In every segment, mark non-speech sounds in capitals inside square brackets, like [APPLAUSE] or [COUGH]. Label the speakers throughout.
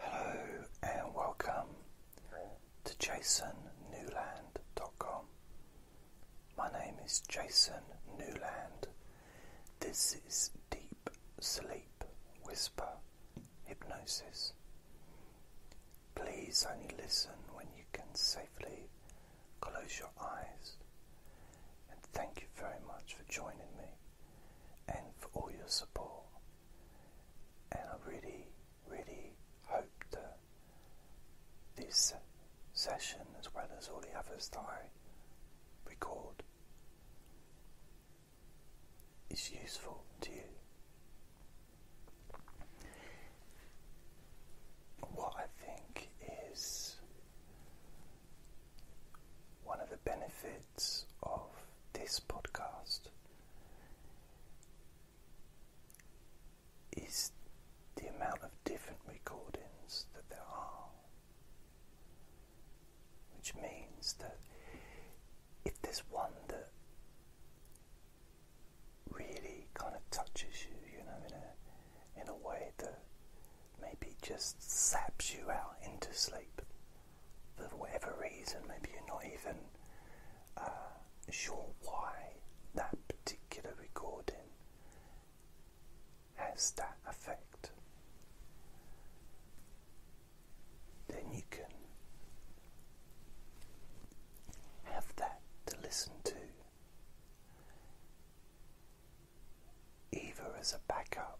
Speaker 1: Hello and welcome to jasonnewland.com. My name is Jason Newland. This is Deep Sleep Whisper Hypnosis. Please only listen when you can safely close your eyes. And thank you very much for joining me and for all your support and I really, really hope that this session, as well as all the others that I record, is useful to you. What I think is one of the benefits of this podcast is the amount of different recordings that there are, which means that if there's one that really kind of touches you, you know, in a in a way that maybe just saps you out into sleep for whatever reason, maybe you're not even uh, sure why that particular recording has that effect, then you can have that to listen to. Either as a backup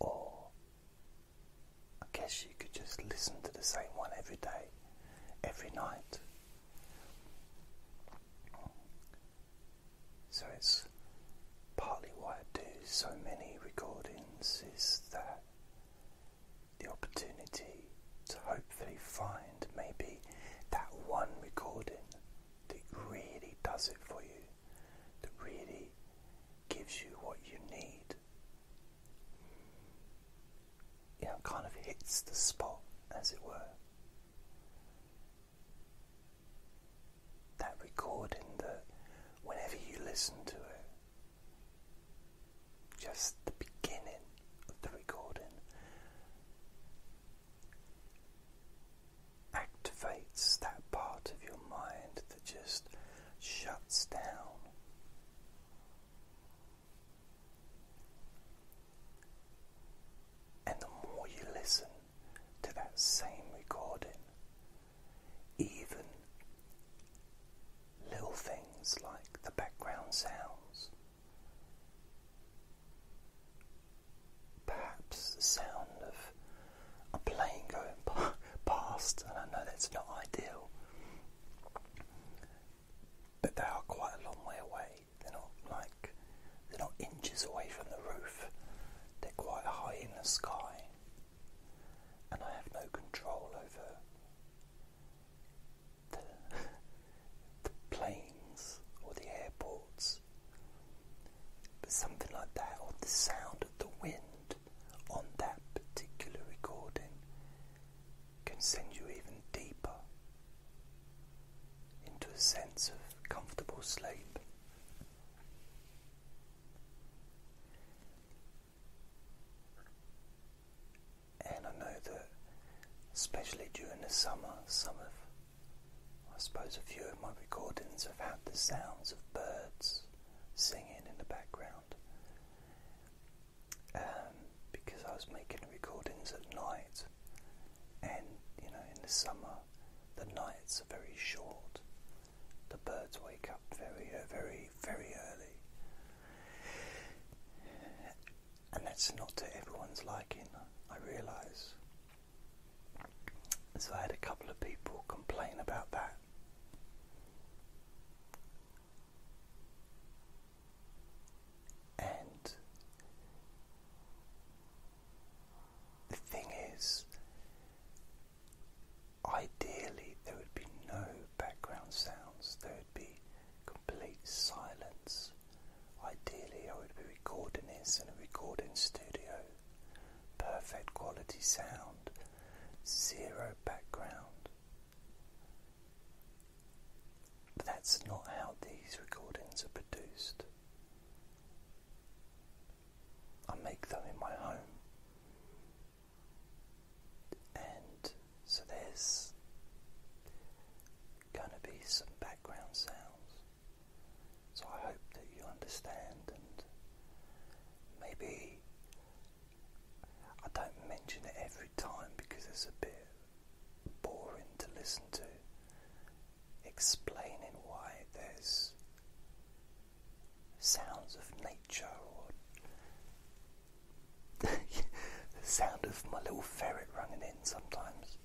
Speaker 1: or I guess you could just listen to the same one every day, every night. So it's partly why I do so many recordings is that the opportunity to hopefully find maybe that one recording that really does it for you that really gives you what you need. You know, kind of hits the spot, as it were. That recording that whenever you listen to it, just the beginning of the recording activates that part of your mind that just shuts down. And the more you listen to that same recording, even little things like the background sounds perhaps the sound of a plane going past, and I know that's not ideal, but they are quite a long way away. They're not like they're not inches away from the roof. They're quite high in the sky, and I have no control over the, [LAUGHS] the planes or the airports. But something like that, or the sound of the wind on that particular recording, can send you even deeper into a sense of comfortable sleep. And I know that, especially during the summer, summer. of I suppose a few of my recordings have had the sounds of birds singing in the background um, because I was making recordings at night, and you know, in the summer, the nights are very short. The birds wake up very, uh, very, very early. And that's not to everyone's liking, I realise. So I had a couple of people complain about that. And the thing is, ideally, there would be no background sounds, there would be complete silence. Ideally, I would be recording this in a recording studio perfect quality sound, zero background. But that's not how these recordings are produced. I make them in my home. And so there's going to be some background sounds. So I hope that you understand and maybe I don't mention it every time because it's a bit boring to listen to. Explaining why there's sounds of nature or [LAUGHS] the sound of my little ferret running in sometimes.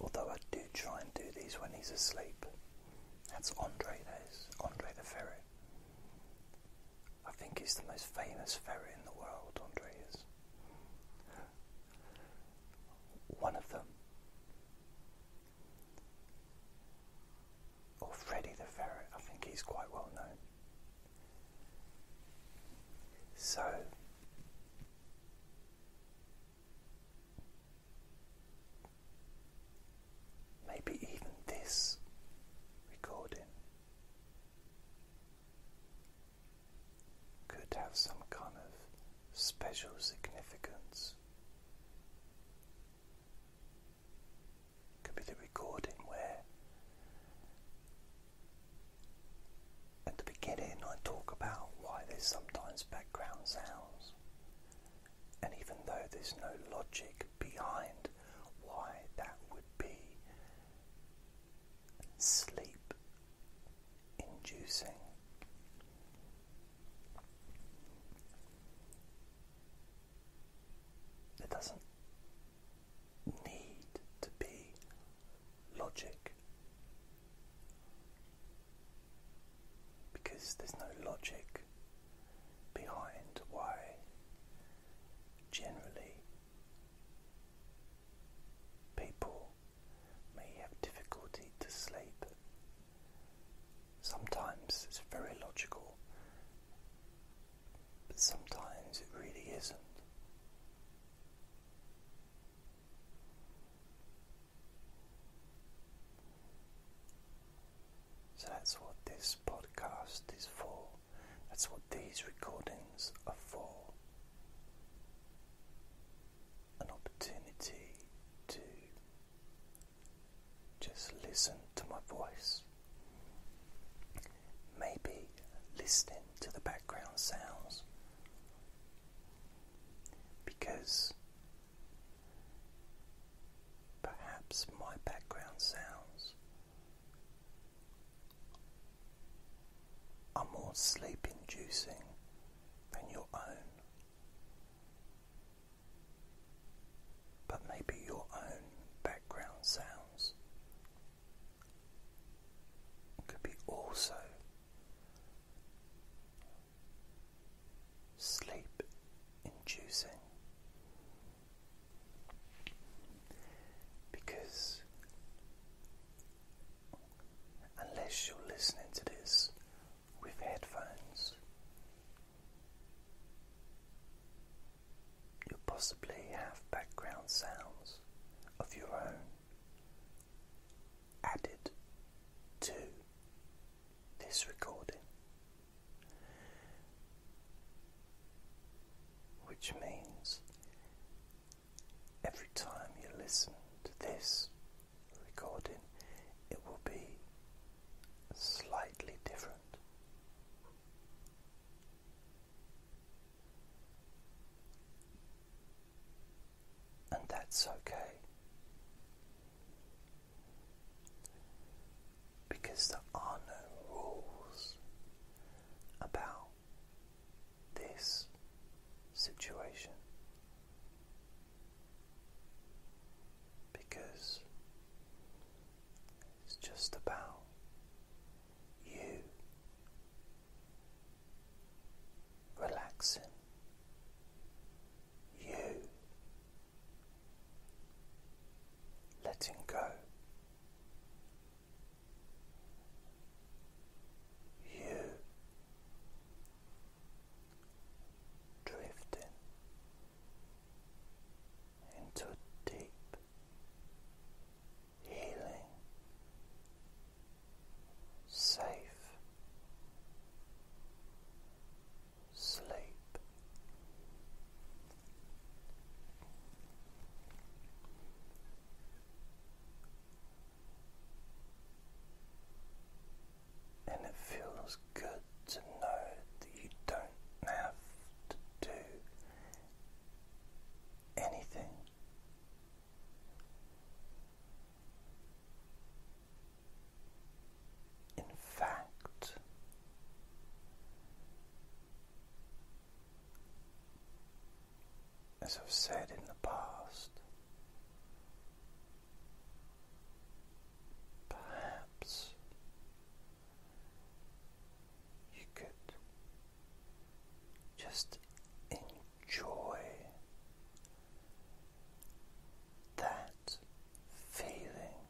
Speaker 1: Although I do try and do these when he's asleep. That's Andre, that is. Andre the ferret. I think he's the most famous ferret in the world, Andre is. One of them. Or Freddy the ferret, I think he's quite well known. So, Maybe even this recording could have some kind of special significance. Could be the recording where at the beginning, I talk about why there's sometimes background sounds, and even though there's no logic behind why that would be sleep inducing. it doesn't need to be logic because there's no logic behind why generally people may have difficulty to sleep. Sometimes it's very logical, but sometimes it really isn't. So that's what this podcast is for. That's what these recordings are for. An opportunity to just listen to my voice. Maybe listening to the background sounds because perhaps my background sounds are more sleep inducing than your own. But maybe your own background sounds could be also sleep inducing because unless you're listening to this with headphones, you possibly have background sounds of your own added to this recording, which means every time you listen to this recording, it will be slightly different and that's okay. Because there are no rules about this situation. Because it's just about you relaxing. You letting go. You drifting into deep healing, safe sleep. And it feels good to know that you don't have to do anything in fact, as I've said in the past, perhaps you could just enjoy that feeling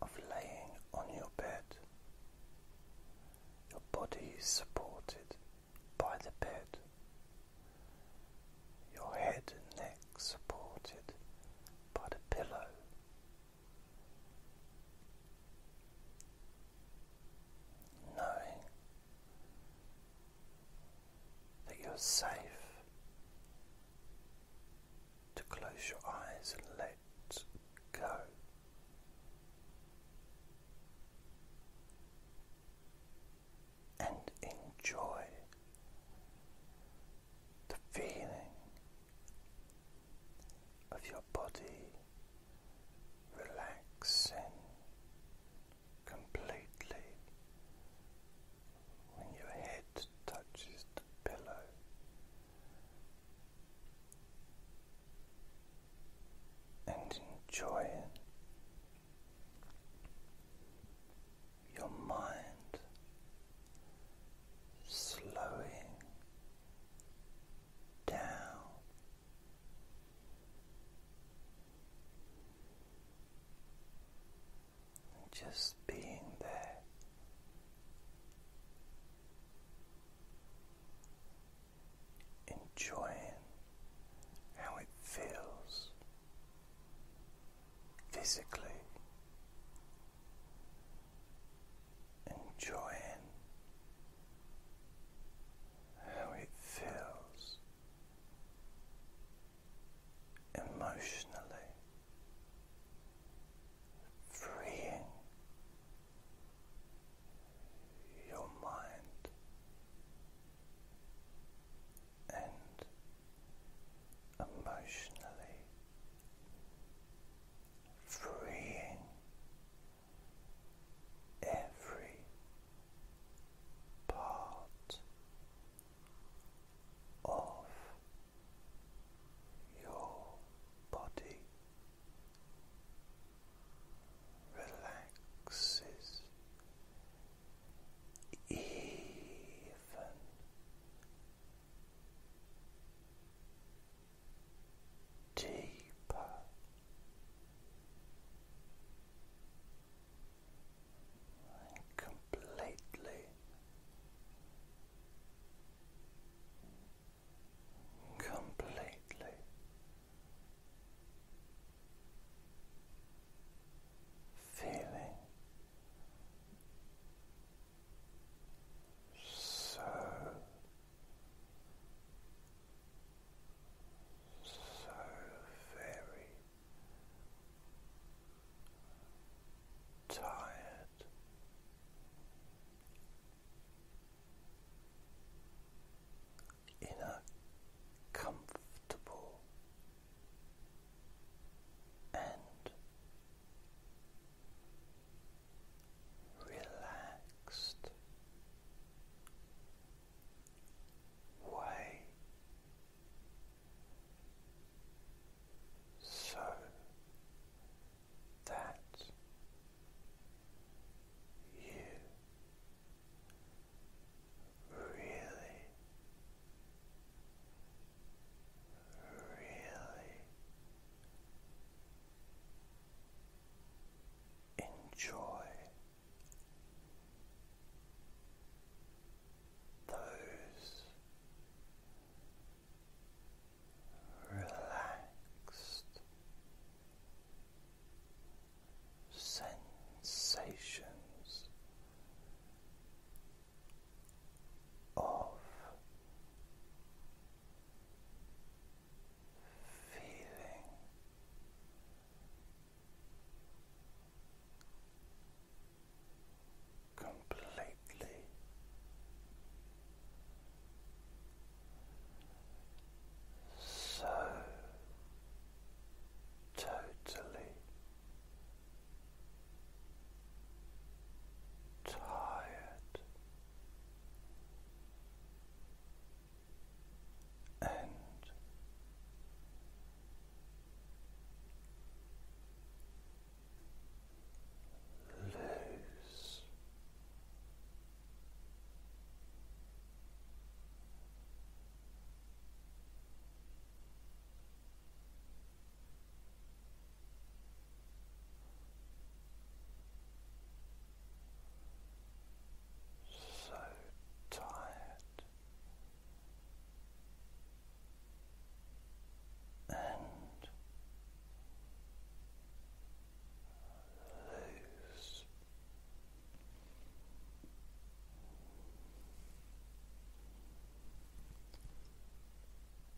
Speaker 1: of laying on your bed, your body supported by the bed, your head and neck supported by the pillow knowing that you're safe to close your eyes and let go. And enjoy the feeling of your body relaxing completely when your head touches the pillow. And enjoying your mind slowing down. just being there. Enjoying how it feels physically enjoying how it feels emotionally freeing your mind and emotionally freeing every part of your body relaxes even deeper. completely completely feeling so so very tired. In a comfortable and relaxed way so that you really, really enjoy those relaxed sensations of feeling completely so totally tired and lose so tired and loose.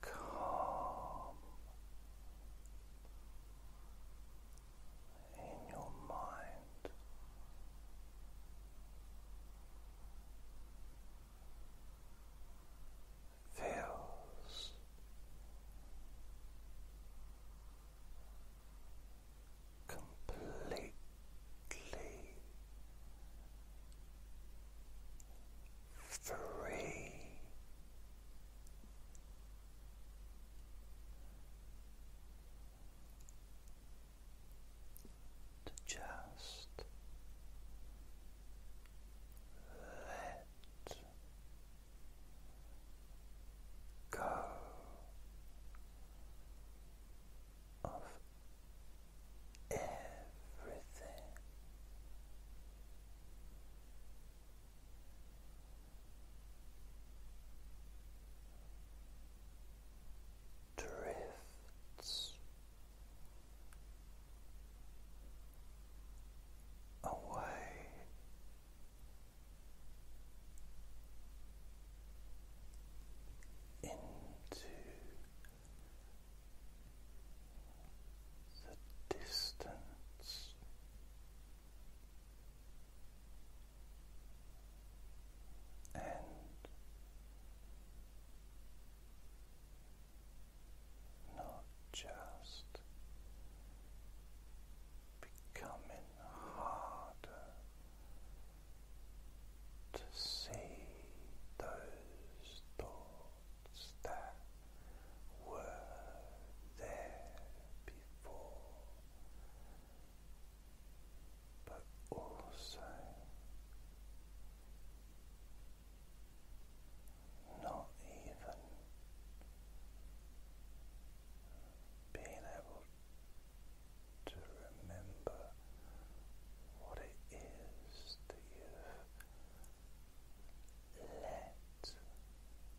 Speaker 1: calm in your mind. Feels completely free. just let go of everything drifts away. Into the distance and not just becoming harder to see those thoughts that were there before, but also not even being able to remember what it is that have let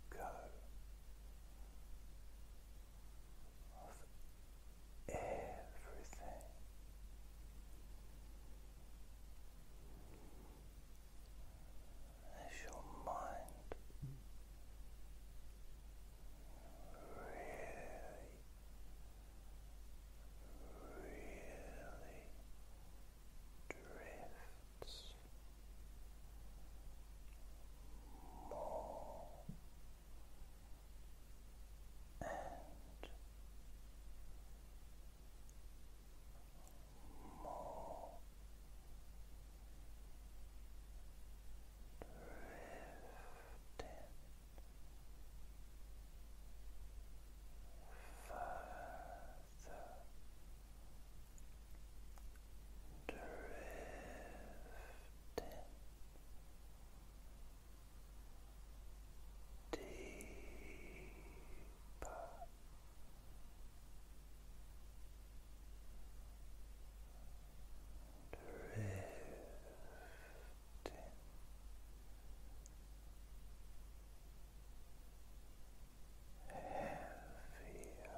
Speaker 1: go of everything. As your mind really, really drifts more and more drifting further drifting deeper drifting heavier drifting quicker drifting